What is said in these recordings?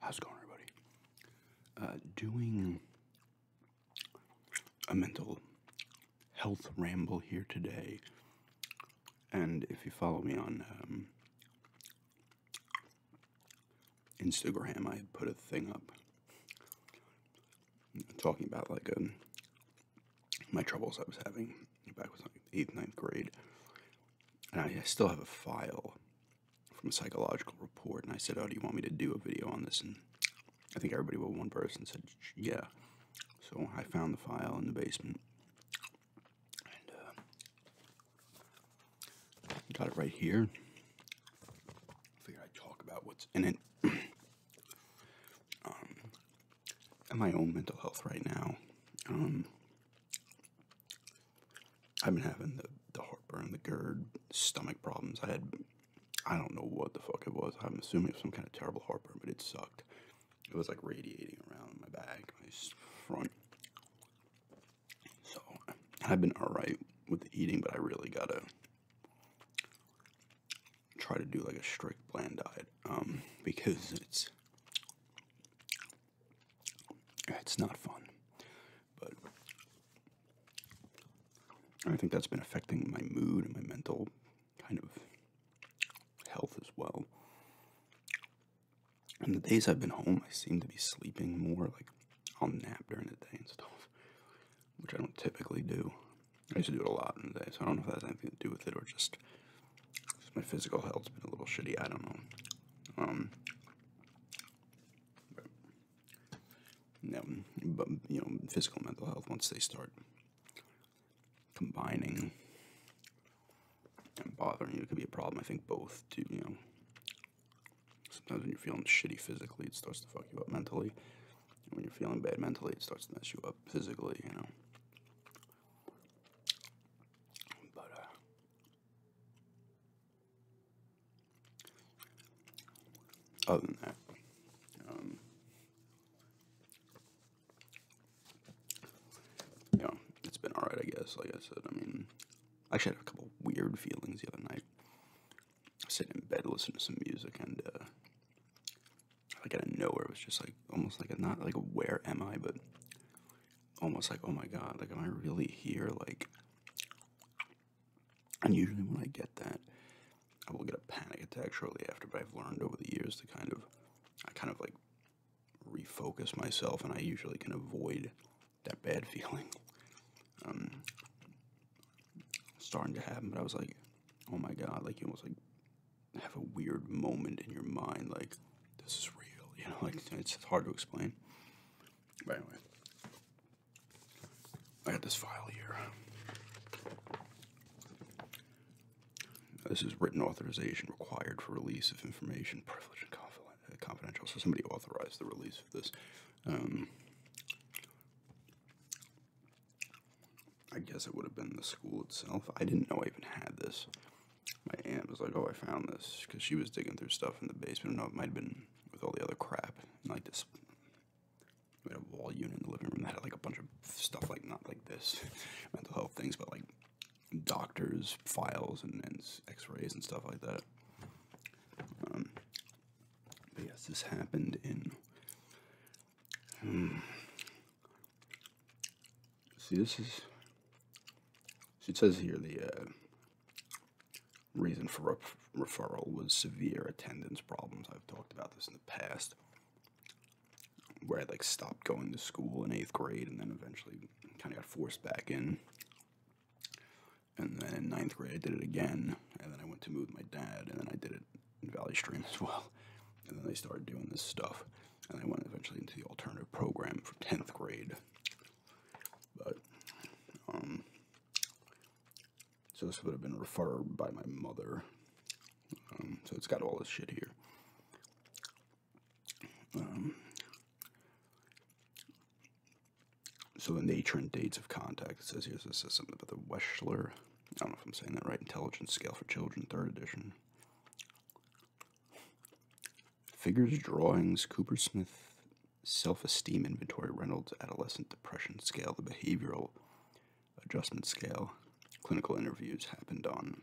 How's it going, everybody? Uh, doing a mental health ramble here today, and if you follow me on um, Instagram, I put a thing up talking about like um, my troubles I was having back was eighth, ninth grade, and I, still have a file from a psychological report. And I said, "Oh, do you want me to do a video on this?" And I think everybody but one person said, "Yeah." So I found the file in the basement, uh, Got it right here. Figure I'd talk about what's in it. Um, my own mental health right now. Um, I've been having the, the heartburn, the GERD, stomach problems. I had, I don't know what the fuck it was. I'm assuming it was some kind of terrible heartburn, but it sucked. It was like radiating around my back, my front. So I've been alright with eating, but I really gotta try to do like a strict bland diet um, because it's it's not fun. But I think that's been affecting my mood and my mental kind of health as well. And the days I've been home, I seem to be sleeping more. Like, I'll nap during the day and stuff, which I don't typically do. I used to do it a lot in the day, so I don't know if that has anything to do with it or just my physical health's been a little shitty. I don't know. Um, but, no, but you know, physical mental health once they start combining and bothering you, it could be a problem. I think both do. You know, Sometimes when you're feeling shitty physically, it starts to fuck you up mentally. And when you're feeling bad mentally, it starts to mess you up physically, you know. But, uh, other than that, um, it's been alright, I guess. Like I said, I mean, I actually had a couple weird feelings the other night. I sat in bed listening to some music, and uh, like out of nowhere, it was just like almost like a not like where am I, but almost like oh my god, like am I really here? Like, and usually when I get that, I will get a panic attack shortly after. But I've learned over the years to kind of, I kind of like refocus myself, and I usually can avoid that bad feeling um, starting to happen. But I was like, oh my god, like you almost like have a weird moment in your mind, like this is real, you know, like it's hard to explain. By the way, I got this file here. This is written authorization required for release of information, privilege, and confidentiality confidential, so somebody authorized the release of this. Um, I guess it would have been the school itself. I didn't know I even had this. My aunt was like, "Oh, I found this," because she was digging through stuff in the basement. I it might have been with all the other crap like this. We had a wall unit in the living room that had like a bunch of stuff like not like this, mental health things, but like doctors' files and X-rays and stuff like that. Um, yes, this happened in. Hmm. see, this is. It says here the uh, reason for referral was severe attendance problems. I've talked about this in the past, where I like stopped going to school in eighth grade, and then eventually kind of got forced back in and then in ninth grade, I did it again. And then I went to move my dad, and then I did it in Valley Stream as well. And then they started doing this stuff. And I went eventually into the alternative program for 10th grade. But, um, so this would have been referred by my mother. Um, so it's got all this shit here. Um, so the nature and dates of contact. It says here's this is something about the Weschler. I don't know if I'm saying that right. Intelligence Scale for Children, third edition. Figures, drawings, Cooper Smith, self-esteem inventory, Reynolds, adolescent depression scale, the behavioral adjustment scale, clinical interviews happened on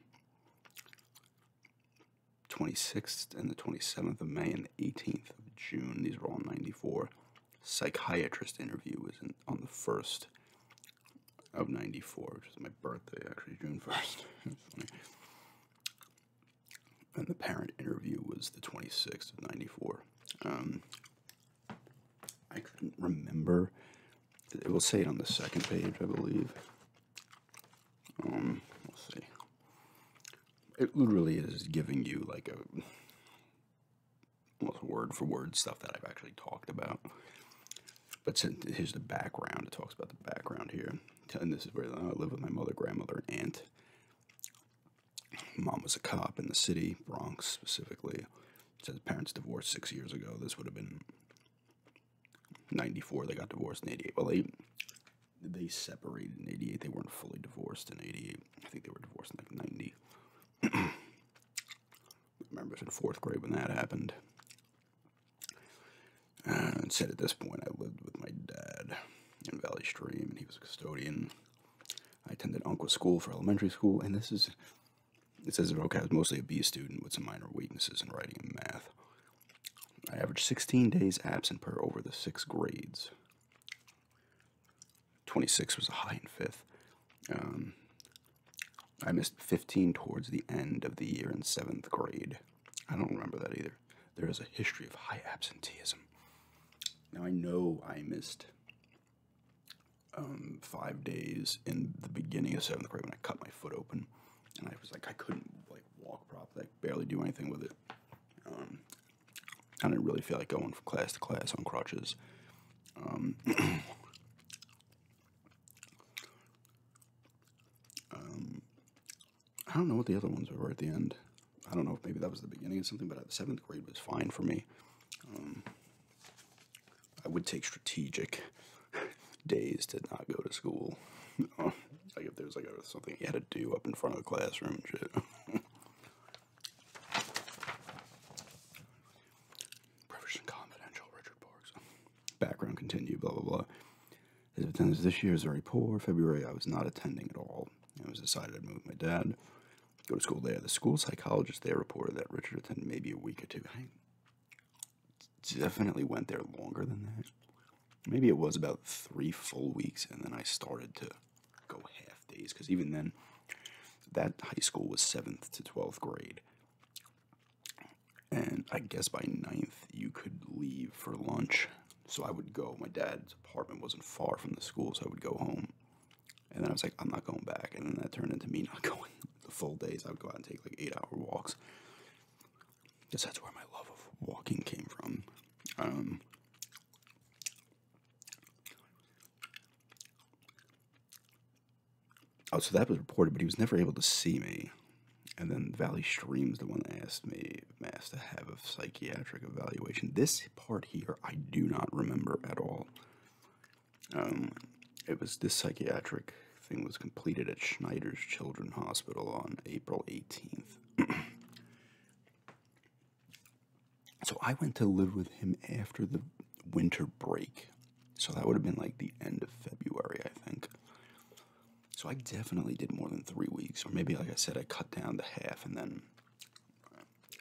26th and the 27th of May and the 18th of June. These were all 94. Psychiatrist interview was on the 1st of 94, which is my birthday, actually, June 1st. and the parent interview was the 26th of 94. Um, I couldn't remember. It will say it on the second page, I believe. Um, let's see. It literally is giving you like a well, word for word stuff that I've actually talked about. But here's the background. It talks about the background here. And this is where I live with my mother, grandmother, aunt. Mom was a cop in the city, Bronx specifically. Says parents divorced six years ago. This would have been 94. They got divorced in 88. Well, they they separated in 88. They weren't fully divorced in 88. I think they were divorced in like 90. I remember it was in fourth grade when that happened. and said at this point, I lived with my dad in Valley Stream, and he was a custodian. I attended Onqua school for elementary school, and this is, it says, okay, I was mostly a B student with some minor weaknesses in writing and math. I averaged 16 days absent per over the six grades. 26 was a high in fifth. Um, I missed 15 towards the end of the year in seventh grade. I don't remember that either. There is a history of high absenteeism. Now I know I missed um, five days in the beginning of seventh grade when I cut my foot open, and I was like I couldn't like walk properly, barely do anything with it. Um, I didn't really feel like going from class to class on crutches. Um, um, I don't know what the other ones were at the end. I don't know if maybe that was the beginning of something, but seventh grade was fine for me. I would take strategic days to not go to school. like if there was like something you had to do up in front of the classroom and shit. confidential, Richard Parks. Background continue, blah blah blah. His attendance this year is very poor. February, I was not attending at all. I was decided to move with my dad, go to school there. The school psychologist there reported that Richard attended maybe a week or two. I definitely went there longer than that maybe it was about three full weeks, and then I started to go half days because even then, that high school was seventh to twelfth grade. And I guess by ninth, you could leave for lunch. So I would go. My dad's apartment wasn't far from the school, so I would go home. And then I was like, I'm not going back. And then that turned into me not going the full days. I would go out and take like eight hour walks guess that's where my love of walking came from. Um, oh, so that was reported, but he was never able to see me. And then Valley Stream's the one that asked me, asked to have a psychiatric evaluation. This part here, I do not remember at all. Um, it was this psychiatric thing was completed at Schneider's Children Hospital on April 18th. so I went to live with him after the winter break. So that would have been like the end of February, I think. So I definitely did more than three weeks, or maybe like I said, I cut down to half, and then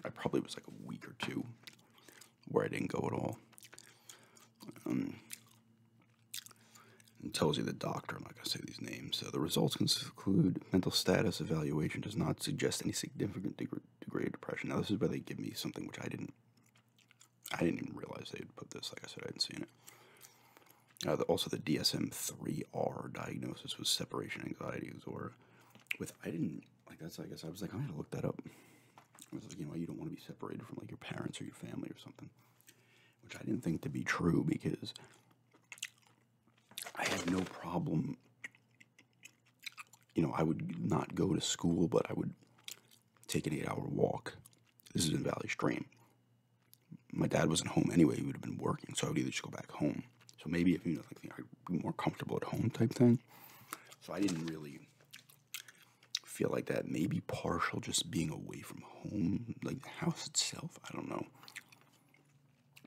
I probably was like a week or two where I didn't go at all. Um, it tells you the doctor. I'm not going to say these names. So the results can include mental status evaluation does not suggest any significant degree of depression. Now this is where they give me something which I didn't. I didn't even realize they had put this. Like I said, I hadn't seen it. Uh, also, the DSM-3R diagnosis was separation anxieties or With I didn't like that's. I guess I was like I'm gonna look that up. I was like, you know, you don't want to be separated from like your parents or your family or something which I didn't think to be true because I had no problem. You know, I would not go to school, but I would take an eight hour walk. This is in Valley Stream. My dad wasn't home anyway, he would have been working, so I would either just go back home. So maybe if you know, like, I'd be more comfortable at home type thing. So I didn't really feel like that. Maybe partial just being away from home, like the house itself. I don't know.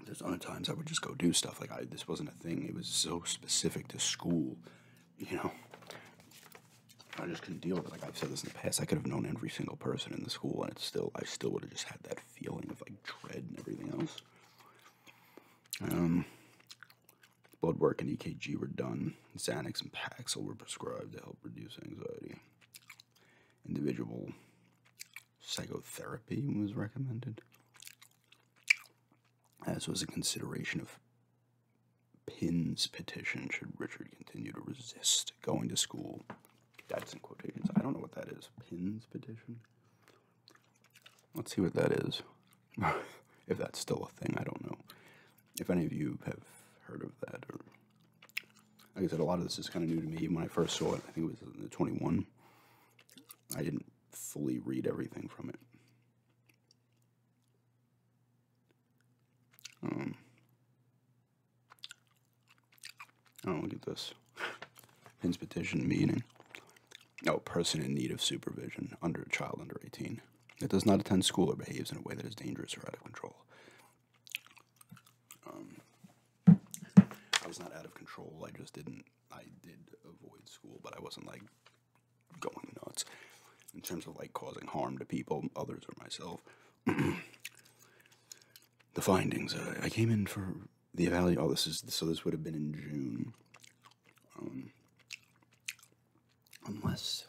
There's other times I would just go do stuff. Like I, this wasn't a thing. It was so specific to school, you know. I just couldn't deal with it. Like I've said this in the past, I could have known every single person in the school, and it's still, I still would have just had that feeling of like dread and everything else. Um, blood work and EKG were done. Xanax and Paxil were prescribed to help reduce anxiety individual psychotherapy was recommended, as was a consideration of Pin's petition should Richard continue to resist going to school. That's in quotations. I don't know what that is. Pin's petition? Let's see what that is. if that's still a thing, I don't know. If any of you have heard of that or like I said, a lot of this is kind of new to me. when I first saw it, I think it was the 21. I didn't fully read everything from it. Um, oh, look at this. petition meaning. No oh, person in need of supervision under a child under 18 that does not attend school or behaves in a way that is dangerous or out of control. Um, I was not out of control. I just didn't. I did avoid school, but I wasn't like going nuts in terms of like causing harm to people, others, or myself. the findings. Uh, I came in for the evaluation. Oh, this is so. This would have been in June, um, unless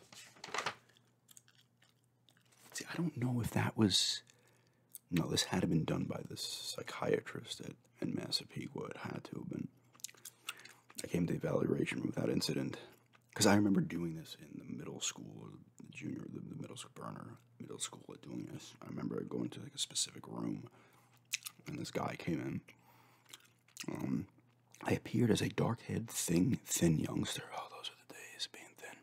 See, I don't know if that was. No, this had to have been done by this psychiatrist at, in Massapequa. It had to have been. I came to the evaluation room without incident. Because I remember doing this in the middle school, the junior, the, middle school burner, middle school at doing this. I remember going to like a specific room, and this guy came in. Um, I appeared as a dark-haired, thin, thin youngster. Oh, those are the days, being thin.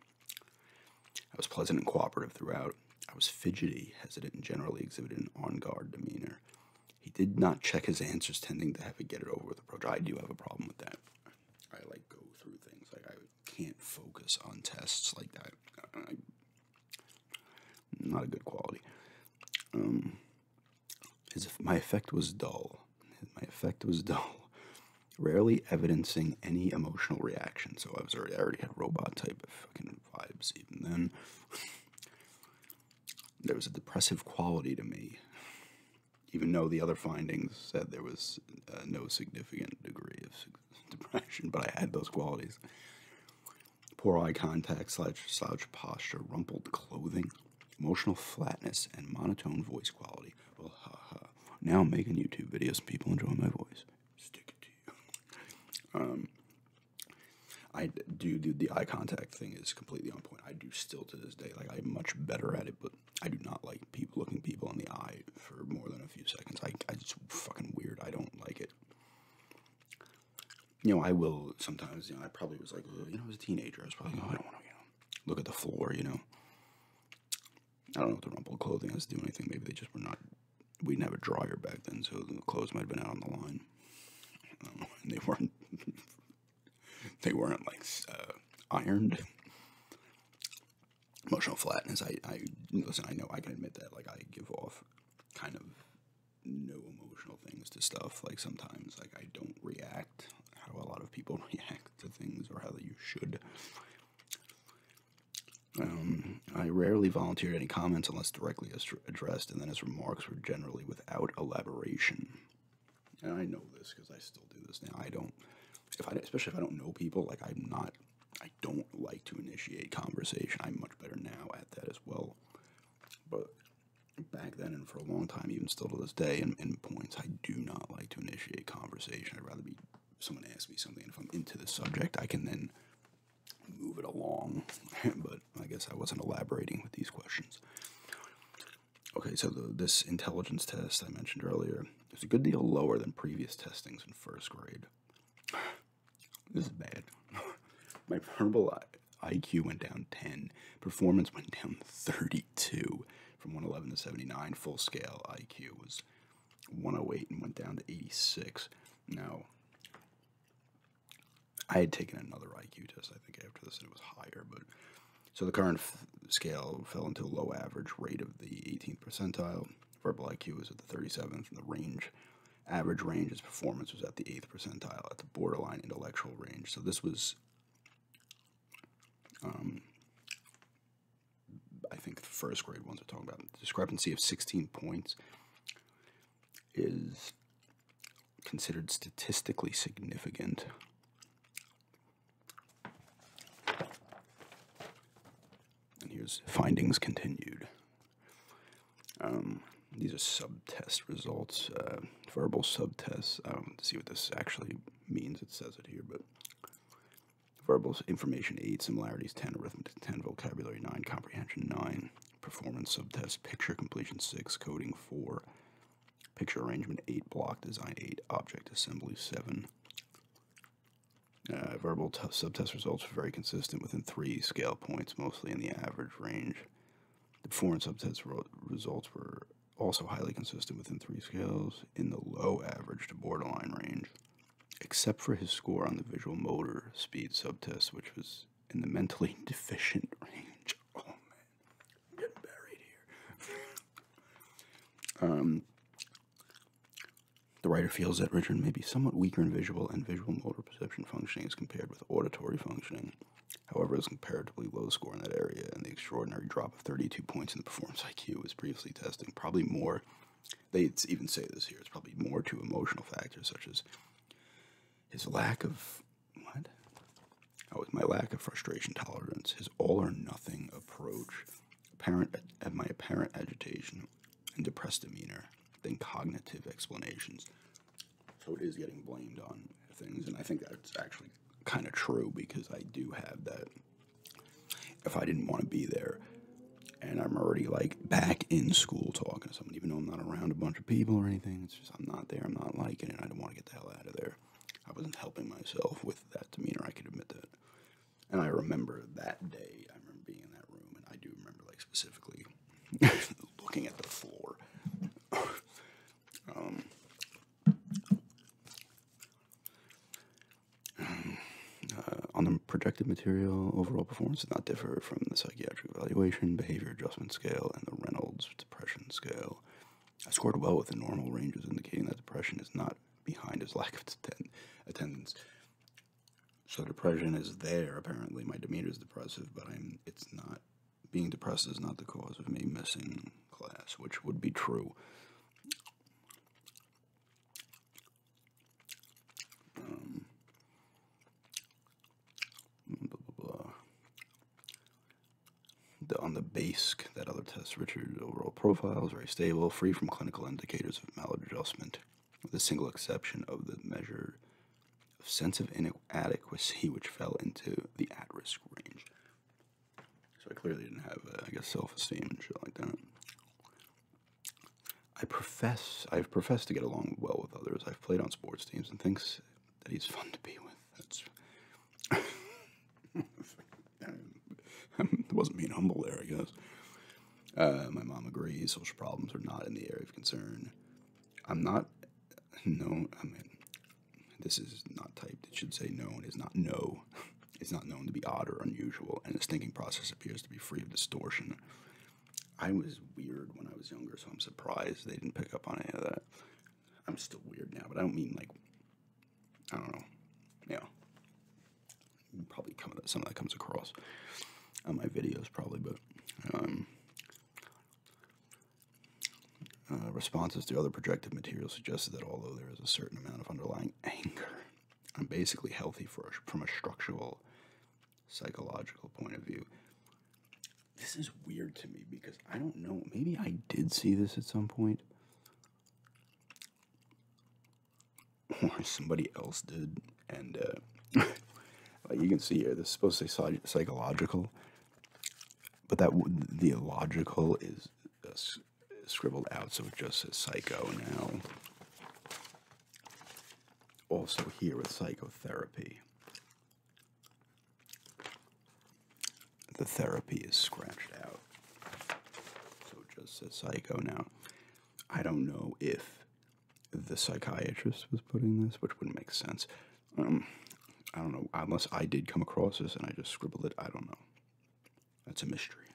I was pleasant and cooperative throughout. I was fidgety, hesitant, and generally exhibited an on guard demeanor. He did not check his answers, tending to have a get it over with approach. I do have a problem with that. I like go through things. Like I can't focus on tests like that. not a good quality. Um, my effect was dull. My effect was dull, rarely evidencing any emotional reaction. So I was already, I already had robot type of fucking vibes even then. there was a depressive quality to me, even though the other findings said there was uh, no significant degree of depression, but I had those qualities. Poor eye contact, slouch, slouch posture, rumpled clothing, emotional flatness, and monotone voice quality. Well, ha ha now I'm making YouTube videos. People enjoy my voice. Stick it to you. um, I do, dude. The eye contact thing is completely on point. I do still to this day. Like I'm much better at it, but I do not like people looking people in the eye for more than a few seconds. I, I just fucking weird. I don't like it. You know, I will sometimes. You know, I probably was like, you know, I was a teenager. I was probably, like, oh, I don't want to, look at the floor. You know, I don't know if the rumpled clothing has to do anything. Maybe they just were not. We didn't have a dryer back then, so the clothes might have been out on the line. Um, they weren't. they weren't like uh, ironed. Emotional flatness. I, I listen. I know I can admit that. Like I give off kind of no emotional things to stuff. Like sometimes, like I don't react how a lot of people react to things or how you should. Um, I rarely volunteered any comments unless directly addressed, and then his remarks were generally without elaboration. And I know this because I still do this now. I don't, especially if I don't know people, like I'm not, I don't like to initiate conversation. I'm much better now at that as well. But back then, and for a long time, even still to this day, in, points. I do not like to initiate conversation. I'd rather be someone asks me something, if I'm into the subject, I can then move it along. but I guess I wasn't elaborating with these questions. Okay, so this intelligence test I mentioned earlier is a good deal lower than previous testings in first grade. This is bad. My verbal IQ went down 10, performance went down 30. 82 from 111 to 79. Full scale IQ was 108 and went down to 86. Now, I had taken another IQ test, I think, after this, and it was higher. But so the current scale fell into a low average rate of the 18th percentile. Verbal IQ was at the 37th, and the range average range his performance was at the 8th percentile, at the borderline intellectual range. So this was um, I think the first grade ones are talking about. discrepancy of 16 points is considered statistically significant. And here's findings continued. Um, these are subtest results, uh, verbal subtests. I um, don't see what this actually means. It says it here, but but verbals, information 8, similarities 10, arithmetic 10, vocabulary 9, comprehension 9, performance subtest, picture completion 6, coding 4, picture arrangement 8, block design 8, object assembly 7. Uh, verbal subtest results were very consistent within three scale points, mostly in the average range. The performance subtest results were also highly consistent within three scales in the low average to borderline range, except for his score on the visual motor speed subtest, which was in the mentally deficient range. Oh man, getting buried here. um, the writer feels that Richard may be somewhat weaker in visual and visual motor perception functioning as compared with auditory functioning. However, his comparatively low score in that area and the extraordinary drop 32 points in the performance IQ was previously testing, probably more, they even say this here, it's probably more to emotional factors such as his lack of, what? Oh, my lack of frustration tolerance, his all or nothing approach, apparent, my apparent agitation and depressed demeanor, than cognitive explanations. So it is getting blamed on things, and I think that's actually kind of true because I do have that if I didn't want to be there. And I'm already like back in school talking to someone, even though I'm not around a bunch of people or anything. It's just I'm not there. I'm not liking it. I don't want to get the hell out of there. I wasn't helping myself with that demeanor. I can admit that. And I remember that day. I remember being in that room, and I do remember like specifically looking at the floor um, um, uh, on the projected material, overall performance did not differ from the psychiatric evaluation, behavior adjustment scale, and the Reynolds depression scale. I scored well within normal ranges, indicating that depression is not behind his lack of attendance. So depression is there. Apparently, my demeanor is depressive, but I'm. It's not. Being depressed is not the cause of me missing class, which would be true. Um, on the BASIC, that other test, Richard's overall profile is very stable, free from clinical indicators of maladjustment, with the single exception of the measure of sense of inadequacy, which fell into the at risk range. So I clearly didn't have, uh, I guess, self esteem and shit like that. I profess, i profess to get along well with others. I've played on sports teams and thinks that he's fun to be with. That's. wasn't being humble there, I guess. Uh, my mom agrees social problems are not in the area of concern. I'm not, no, I mean, this is not typed. It should say known. Is not no. It's not known to be odd or unusual, and its thinking process appears to be free of distortion. I was weird when I was younger, so I'm surprised they didn't pick up on any of that. I'm still weird now, but I don't mean like I don't know. Yeah, probably come, some of that comes across on my videos, probably, but um, uh, responses to other projective materials suggested that although there is a certain amount of underlying anger, I'm basically healthy for from a structural, psychological point of view. This is weird to me because I don't know. Maybe I did see this at some point, or somebody else did. And uh, like you can see here, this is supposed psychological, but that the illogical is scribbled out, so it just says psycho now. Also, here with psychotherapy. The therapy is scratched out, so it just says psycho now. I don't know if the psychiatrist was putting this, which wouldn't make sense. Um, I don't know, unless I did come across this and I just scribbled it, I don't know. That's a mystery.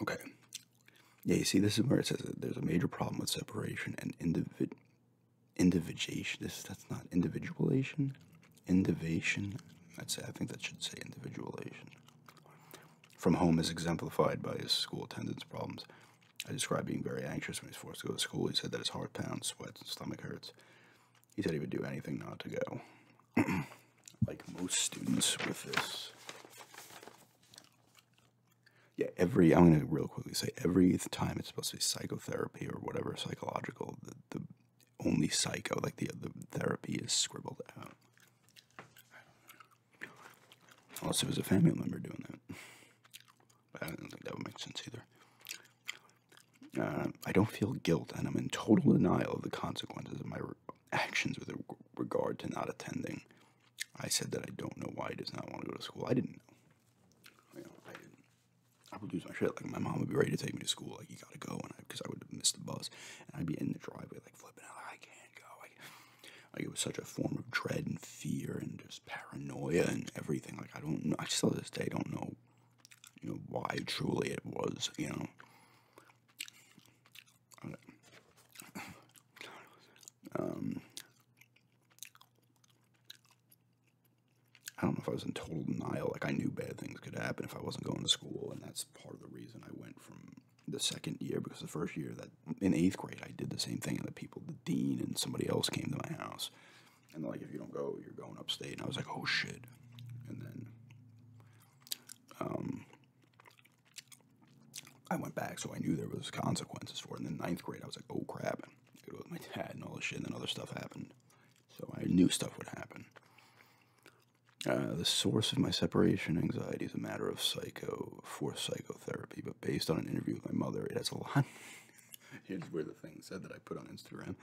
Okay. Yeah, you see, this is where it says there's a major problem with separation and individ individuation. This that's not individuation, individuation. That's I think that should say individualization. From home is exemplified by his school attendance problems. I describe being very anxious when he's forced to go to school. He said that his heart pounds, sweats, and stomach hurts. He said he would do anything not to go. like most students with this. Yeah, every, I'm going to real quickly say every time it's supposed to be psychotherapy or whatever psychological, the, only psycho, like the, the therapy is scribbled out. Also, it was a family member doing that. But I don't think that would make sense either. Uh, I don't feel guilt, and I'm in total denial of the consequences of my actions with regard to not attending. I said that I don't know why he does not want to go to school. I didn't know. I didn't. I would lose my shit. Like my mom would be ready to take me to school. Like you gotta go, and because I, would have missed the bus, and I'd be in the driveway like flipping out. Like, I can't go. like it was such a form of dread and fear and just paranoia and everything. Like I don't know, I still to this day don't know, you know, why truly it was, you know. Um, I don't know if I was in total denial. Like I knew bad things could happen if I wasn't going to school, and that's part of the reason I went from the second year because the first year that in eighth grade I did the same thing, and the people, the dean and somebody else came to my house and like, if you don't go, you're going upstate. And I was like, oh shit. And then um, I went back, so I knew there was consequences for it. And then ninth grade, I was like, oh crap. It was my dad and all this shit, and then other stuff happened. So I knew stuff would happen. Uh, the source of my separation anxiety is a matter of psycho for psychotherapy, but based on an interview with my mother, it's a lot Here's where the thing said that I put on Instagram.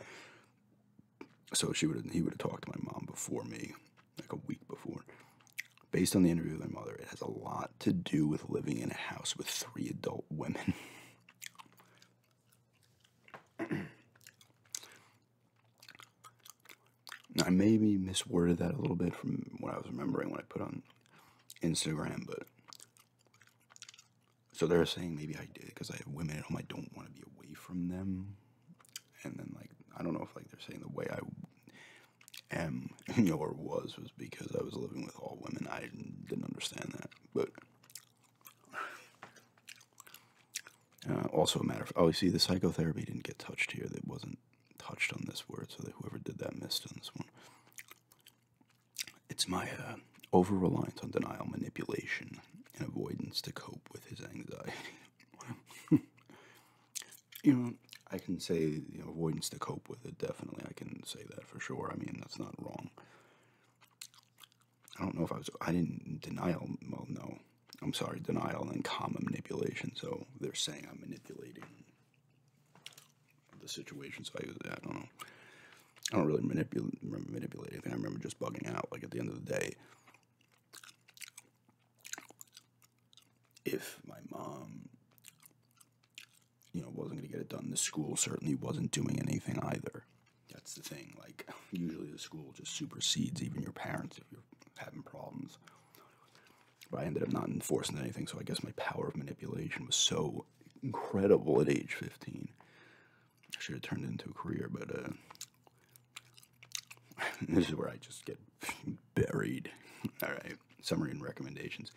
So she would he would have talked to my mom before me, like a week before. Based on the interview with my mother, it has a lot to do with living in a house with three adult women. I maybe misworded that a little bit from what I was remembering when I put on Instagram, but so they're saying maybe I did because I have women at home. I don't want to be away from them. And then like I don't know if like they're saying the way I am you or was was because I was living with all women. I didn't understand that, but. Uh, also a matter of oh, you see, the psychotherapy didn't get touched here. That wasn't touched on this word, so that whoever did that missed on this one. It's my uh, over reliance on denial, manipulation, and avoidance to cope with his anxiety. you know, I can say you know, avoidance to cope with it, definitely. I can say that for sure. I mean, that's not wrong. I don't know if I was, I didn't, denial, well, no. I'm sorry, denial and comma manipulation. So they're saying I'm manipulating the situation. So I, I don't know. I don't really manipulate anything. I remember just bugging out. Like at the end of the day, if my mom, you know, wasn't going to get it done, the school certainly wasn't doing anything either. That's the thing. Like usually the school just supersedes even your parents if you're having problems. But I ended up not enforcing anything, so I guess my power of manipulation was so incredible at age 15. should have turned into a career, but uh, this is where I just get buried. All right, summary and recommendations.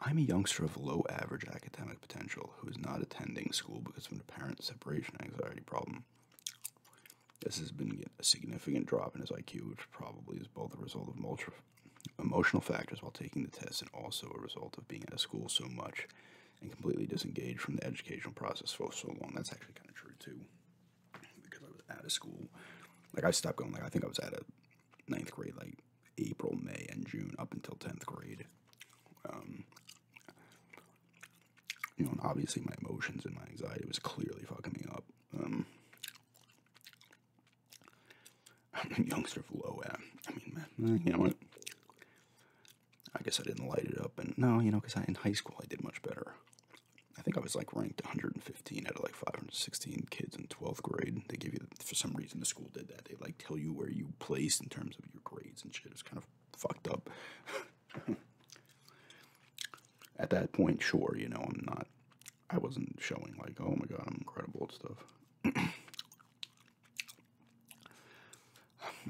I'm a youngster of low average academic potential who is not attending school because of a parent separation anxiety problem. This has been a significant drop in his IQ, which probably is both a result of multiple emotional factors while taking the test and also a result of being at of school so much and completely disengaged from the educational process for so long. That's actually kind of true too, because I was out of school. Like I stopped going. Like I think I was out of ninth grade, like April, May, and June up until tenth grade. Um, you know, obviously my emotions and my anxiety was clearly fucking me up. Um, I'm a youngster of low end. I mean, man, eh, you know what? I guess I didn't light it up, and no, you know, because in high school I did much better. I think I was like ranked 115 out of like 516 kids in 12th grade. They give you, for some reason, the school did that. They like tell you where you place in terms of your grades and shit. It's kind of fucked up. At that point, sure, you know, I'm not, I wasn't showing like, oh my god, I'm incredible at stuff.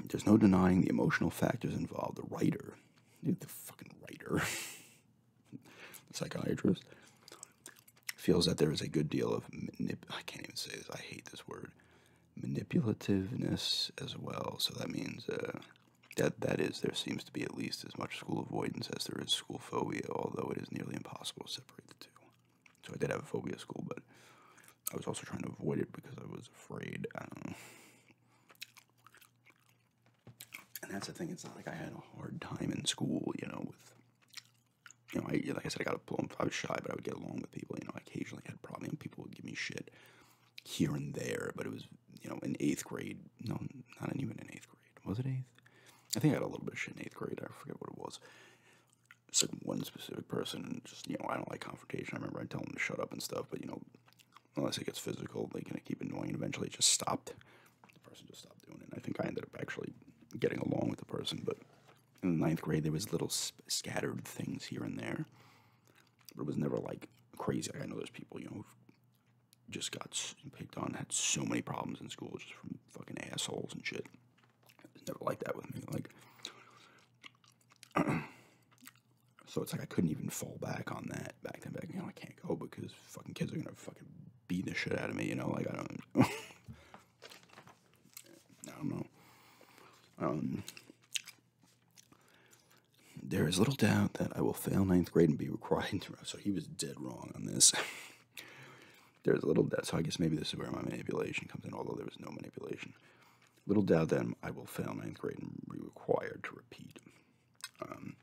There's no denying the emotional factors involved. The writer, dude, the fucking writer, the psychiatrist, feels that there is a good deal of manip- I can't even say this. I hate this word, manipulativeness as well. So that means uh, that that is there seems to be at least as much school avoidance as there is school phobia, although it is nearly impossible to separate the two. So I did have a phobia school, but I was also trying to avoid it because I was afraid. Um, and that's the thing. It's not like I had a hard time in school, you know, with you know, I, like I said, I got along. I was shy, but I would get along with people. You know, I occasionally had problems. And people would give me shit here and there, but it was, you know, in eighth grade. No, not even in eighth grade. Was it eighth? I think I had a little bit of shit in eighth grade. I forget what it was. It's like one specific person. and Just you know, I don't like confrontation. I remember I tell them to shut up and stuff, but you know, unless it gets physical, they're gonna keep annoying. And eventually, it just stopped. The person just stopped doing it. And I think I ended up actually getting along with the person, but in the ninth grade there was little scattered things here and there, but it was never like crazy. I know there's people you know just got picked on, had so many problems in school just from fucking assholes and shit never like that with me. Like, so it's like I couldn't even fall back on that back then. Back, you know, I can't go because fucking kids are gonna fucking beat the shit out of me. You know, like I don't. I don't know. Um, there is little doubt that I will fail ninth grade and be required So he was dead wrong on this. There's little doubt, so I guess maybe this is where my manipulation comes in, although there was no manipulation. Little doubt that I will fail ninth grade and be required to repeat. Um,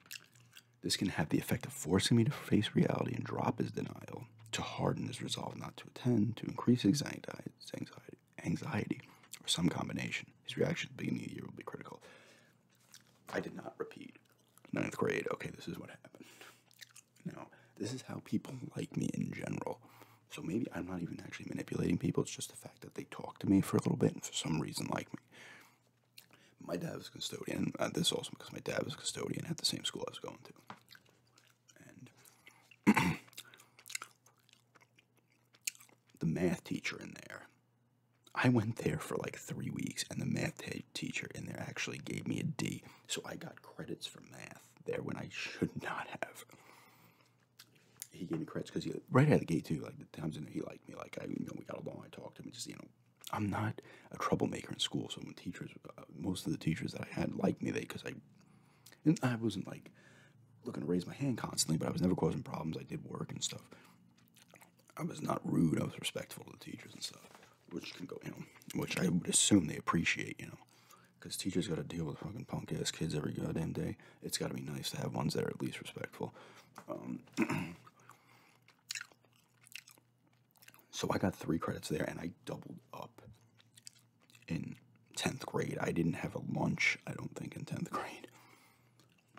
this can have the effect of forcing me to face reality and drop his denial, to harden his resolve not to attend, to increase anxiety, anxiety, anxiety or some combination. His reaction at the beginning of the year will be critical. I did not repeat ninth grade. Okay, this is what happened. Now, this is how people like me in general. So maybe I'm not even actually manipulating people. It's just the fact that they talk to me for a little bit and for some reason like me. My dad was custodian. Uh, this also because my dad was custodian at the same school I was going to. And the math teacher in there, I went there for like three weeks, and the math teacher teacher in there actually gave me a D. So I got credits for math there when I should not have. He gave me credits because he right out of the gate too. Like the times in there, he liked me. Like I, you know, we got along. I talked to him. just you know, I'm not a troublemaker in school. So when teachers, uh, most of the teachers that I had liked me, they because I, and I wasn't like looking to raise my hand constantly, but I was never causing problems. I did work and stuff. I was not rude. I was respectful to the teachers and stuff which can go, you which I would assume they appreciate, you know, because teachers got to deal with fucking punk ass kids every goddamn day. It's got to be nice to have ones that are at least respectful. Um, so I got three credits there, and I doubled up in tenth grade. I didn't have a lunch, I don't think, in tenth grade.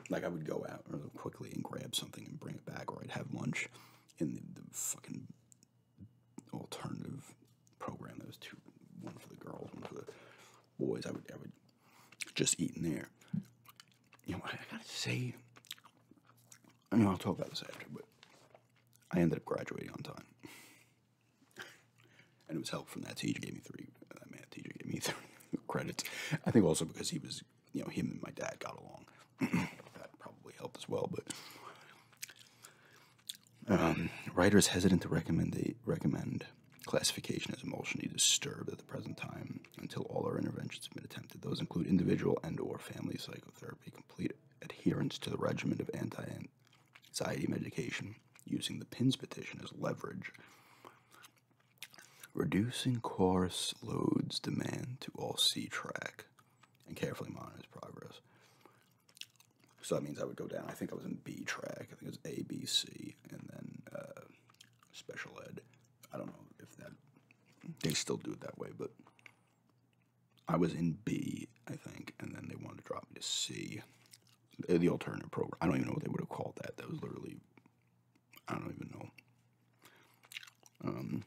Like I would go out really quickly and grab something and bring it back, or I'd have lunch in the fucking alternative program. There was two, one for the girls, one for the boys. I would, I would just eat in there. You know, I, I gotta say, I mean, I'll talk about this after, but I ended up graduating on time. and it was helped from that teacher. Gave me three. Uh, that teacher gave me three credits. I think also because he was, you know, him and my dad got along that probably helped as well. But um, writers hesitant to recommend the recommend classification as emotionally disturbed at the present time until all our interventions have been attempted. Those include individual and or family psychotherapy, complete adherence to the regimen of anti-anxiety medication, using the PINS petition as leverage, reducing course loads demand to all C-track, and carefully monitor his progress. So that means I would go down. I think I was in B track. I think it was A, B, C, and then uh, special ed. I don't know if that they still do it that way, but I was in B, I think, and then they wanted to drop me to C, the alternative program. I don't even know what they would have called that. That was literally, I don't even know. Um,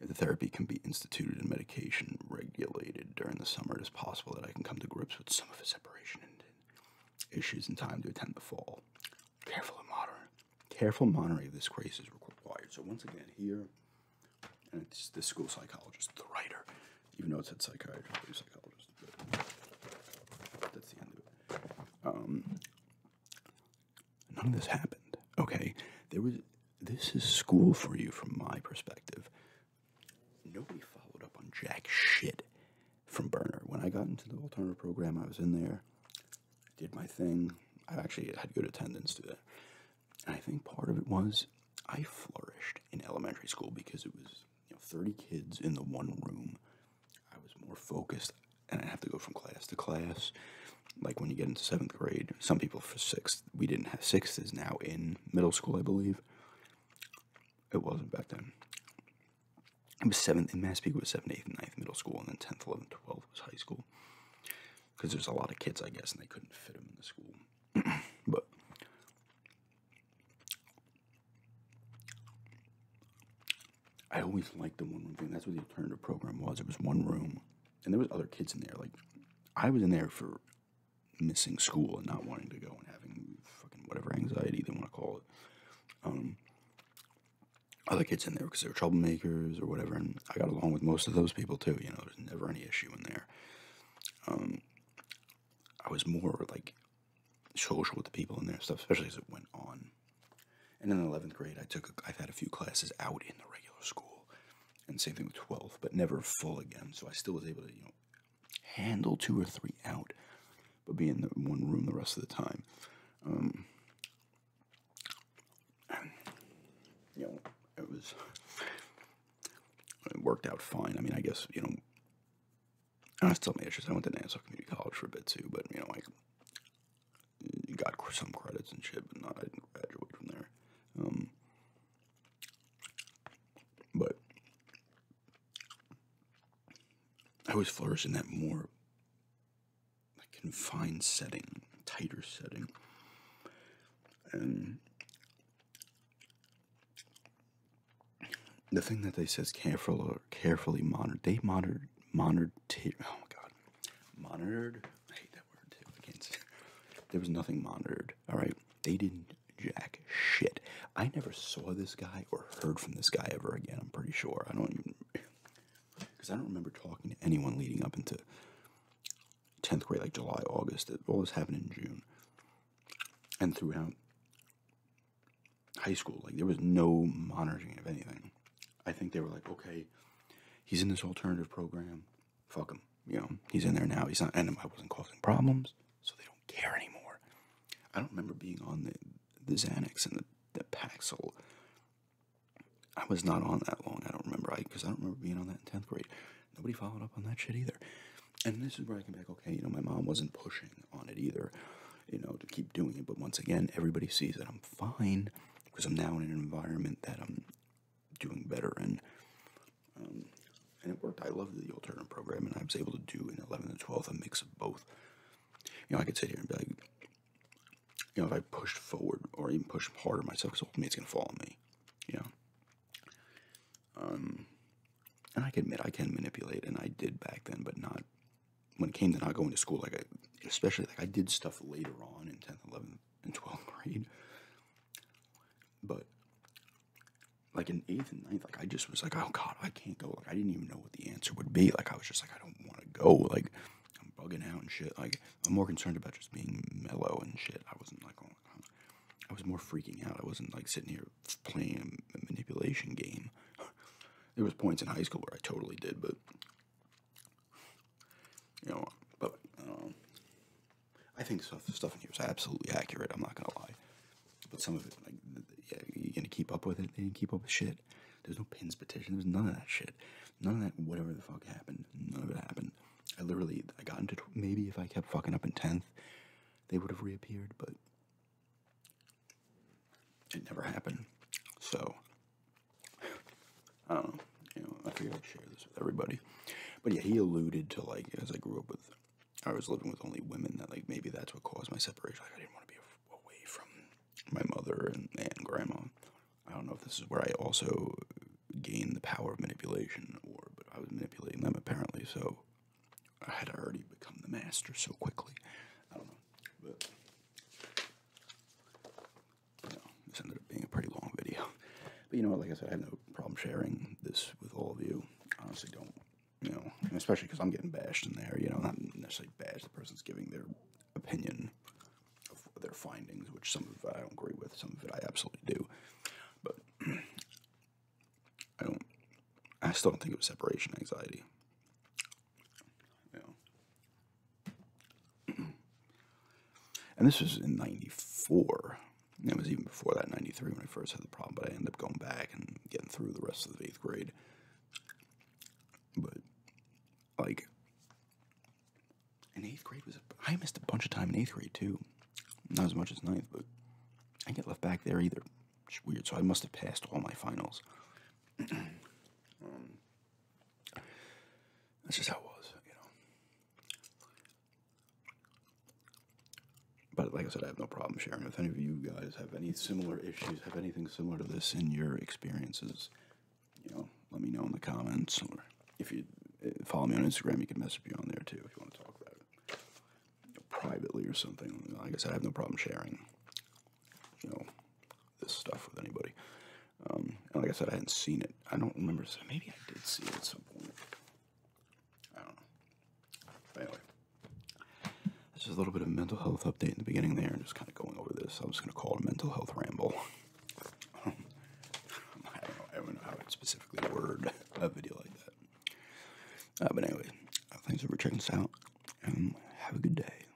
if the therapy can be instituted and medication regulated during the summer, it is possible that I can come to grips with some of his separation issues in time to attend the fall. Careful and Careful monitoring of this crisis is required. So once again, here, and it's the school psychologist, the writer, even though it's said psychiatrist, psychologist. That's the end of it. Um, None of this happened. Okay, there was. This is school for you from my perspective. Nobody followed up on jack shit from Burner. When I got into the alternative program, I was in there, did my thing. I actually had good attendance to it. And I think part of it was I flourished in elementary school because it was 30 kids in the one room. I was more focused and I have to go from class to class like when you get into seventh grade, some people for sixth, we didn't have sixth is now in middle school, I believe. It wasn't back then. It was seventh in Massapequa seventh, eighth, ninth middle school, and then tenth, eleventh, twelfth was high school. Because there's a lot of kids, I guess, and they couldn't fit them in the school. but I always liked the one room thing. That's what the alternative program was. It was one room and there was other kids in there. Like I was in there for missing school and not wanting to go and having fucking whatever anxiety they want to call it. Um, other kids in there because they were troublemakers or whatever, and I got along with most of those people too. You know, there's never any issue in there. Um, I was more like social with the people in there stuff, especially as it went on. And in 11th grade, I took i I've had a few classes out in the regular school, and same thing with 12th, but never full again. So I still was able to you know handle two or three out, but be in the one room the rest of the time. Um, you know, it was it worked out fine. I mean, I guess you know. I still managed. I went to Nassau Community College for a bit too, but you know, like you got some credits and shit, but not I didn't graduate from there. Um, but I always flourished in that more confined setting, tighter setting, and the thing that they says careful or carefully monitored, they monitored monitored. Oh my god, monitored I hate that word too. Against there was nothing monitored. All right, they didn't jack shit. I never saw this guy or heard from this guy ever again. I'm pretty sure. I don't even because I don't remember talking to anyone leading up into tenth grade, like July, August. It all this happened in June, and throughout high school, like there was no monitoring of anything. I think they were like, okay, he's in this alternative program. Fuck him. You know, he's in there now. He's not, and I wasn't causing problems, so they don't care anymore. I don't remember being on the, the Xanax and the, the Paxil. I was not on that long. I don't remember. I because I don't remember being on that in 10th grade. Nobody followed up on that shit either. And this is where I came back, okay, you know, my mom wasn't pushing on it either, you know, to keep doing it. But once again, everybody sees that I'm fine because I'm now in an environment that I'm doing better in. Um, and it worked. I loved the alternate program, and I was able to do in 11 and 12 a mix of both. You know, I could sit here and be like, you know, if I pushed forward or even pushed harder myself, because ultimately it's going to fall on me, you know. Um, and I can admit I can manipulate, and I did back then, but not when it came to not going to school. Like I, especially like I did stuff later on in 10th, 11th, and 12th grade. But like in 8th and 9th, like I just was like, oh God, I can't go. Like I didn't even know what the answer would be. Like I was just like, I don't want to go. Like I'm bugging out and shit. Like I'm more concerned about just being mellow and shit. I wasn't like, oh, I was more freaking out. I wasn't like sitting here playing a manipulation game. There was points in high school where I totally did, but you know, but um, I think stuff stuff in here is absolutely accurate. I'm not gonna lie, but some of it, like, yeah, you're gonna keep up with it. They didn't keep up with shit. There's no pins petition. There's none of that shit. None of that. Whatever the fuck happened. None of it happened. I literally, I got into maybe if I kept fucking up in tenth, they would have reappeared, but it never happened. So I don't know. I figured I'd share this with everybody. But yeah, he alluded to like as I grew up with, I was living with only women. That like maybe that's what caused my separation. Like I didn't want to be away from my mother and, and grandma. I don't know if this is where I also gained the power of manipulation, or but I was manipulating them apparently. So I had already become the master so quickly. I don't know, but this ended up being a pretty long video. But you know what, like I said, I have no problem sharing this with all of you. Honestly, don't, you know, especially because I'm getting bashed in there, you know, not necessarily bashed, the person's giving their opinion of their findings, which some of it I don't agree with, some of it I absolutely do. But I don't, I still don't think it was separation anxiety. Yeah. and this was in 94. It was even before that, 93, when I first had the problem, but I ended up going back and getting through the rest of the eighth grade. But, like, in eighth grade was, I missed a bunch of time in eighth grade, too. Not as much as ninth, but I get left back there either. weird, so I must have passed all my finals. Um, that's just how it was, you know. But like I said, I have no problem sharing. If any of you guys have any similar issues, have anything similar to this in your experiences, you know, let me know in the comments. Or if you eh, follow me on Instagram, you can mess message me on there too if you want to talk about it privately or something. Like I said, I have no problem sharing, you know, this stuff with anybody. Um, like I said, I hadn't seen it. I don't remember. maybe I did see it at some point. I don't know. anyway, this is a little bit of a mental health update in the beginning there, and just kind of going over this. I'm just going to call it a mental health ramble. I, don't know, how I'd specifically word a video like that. Uh, but anyway, uh, thanks for checking us out, and have a good day.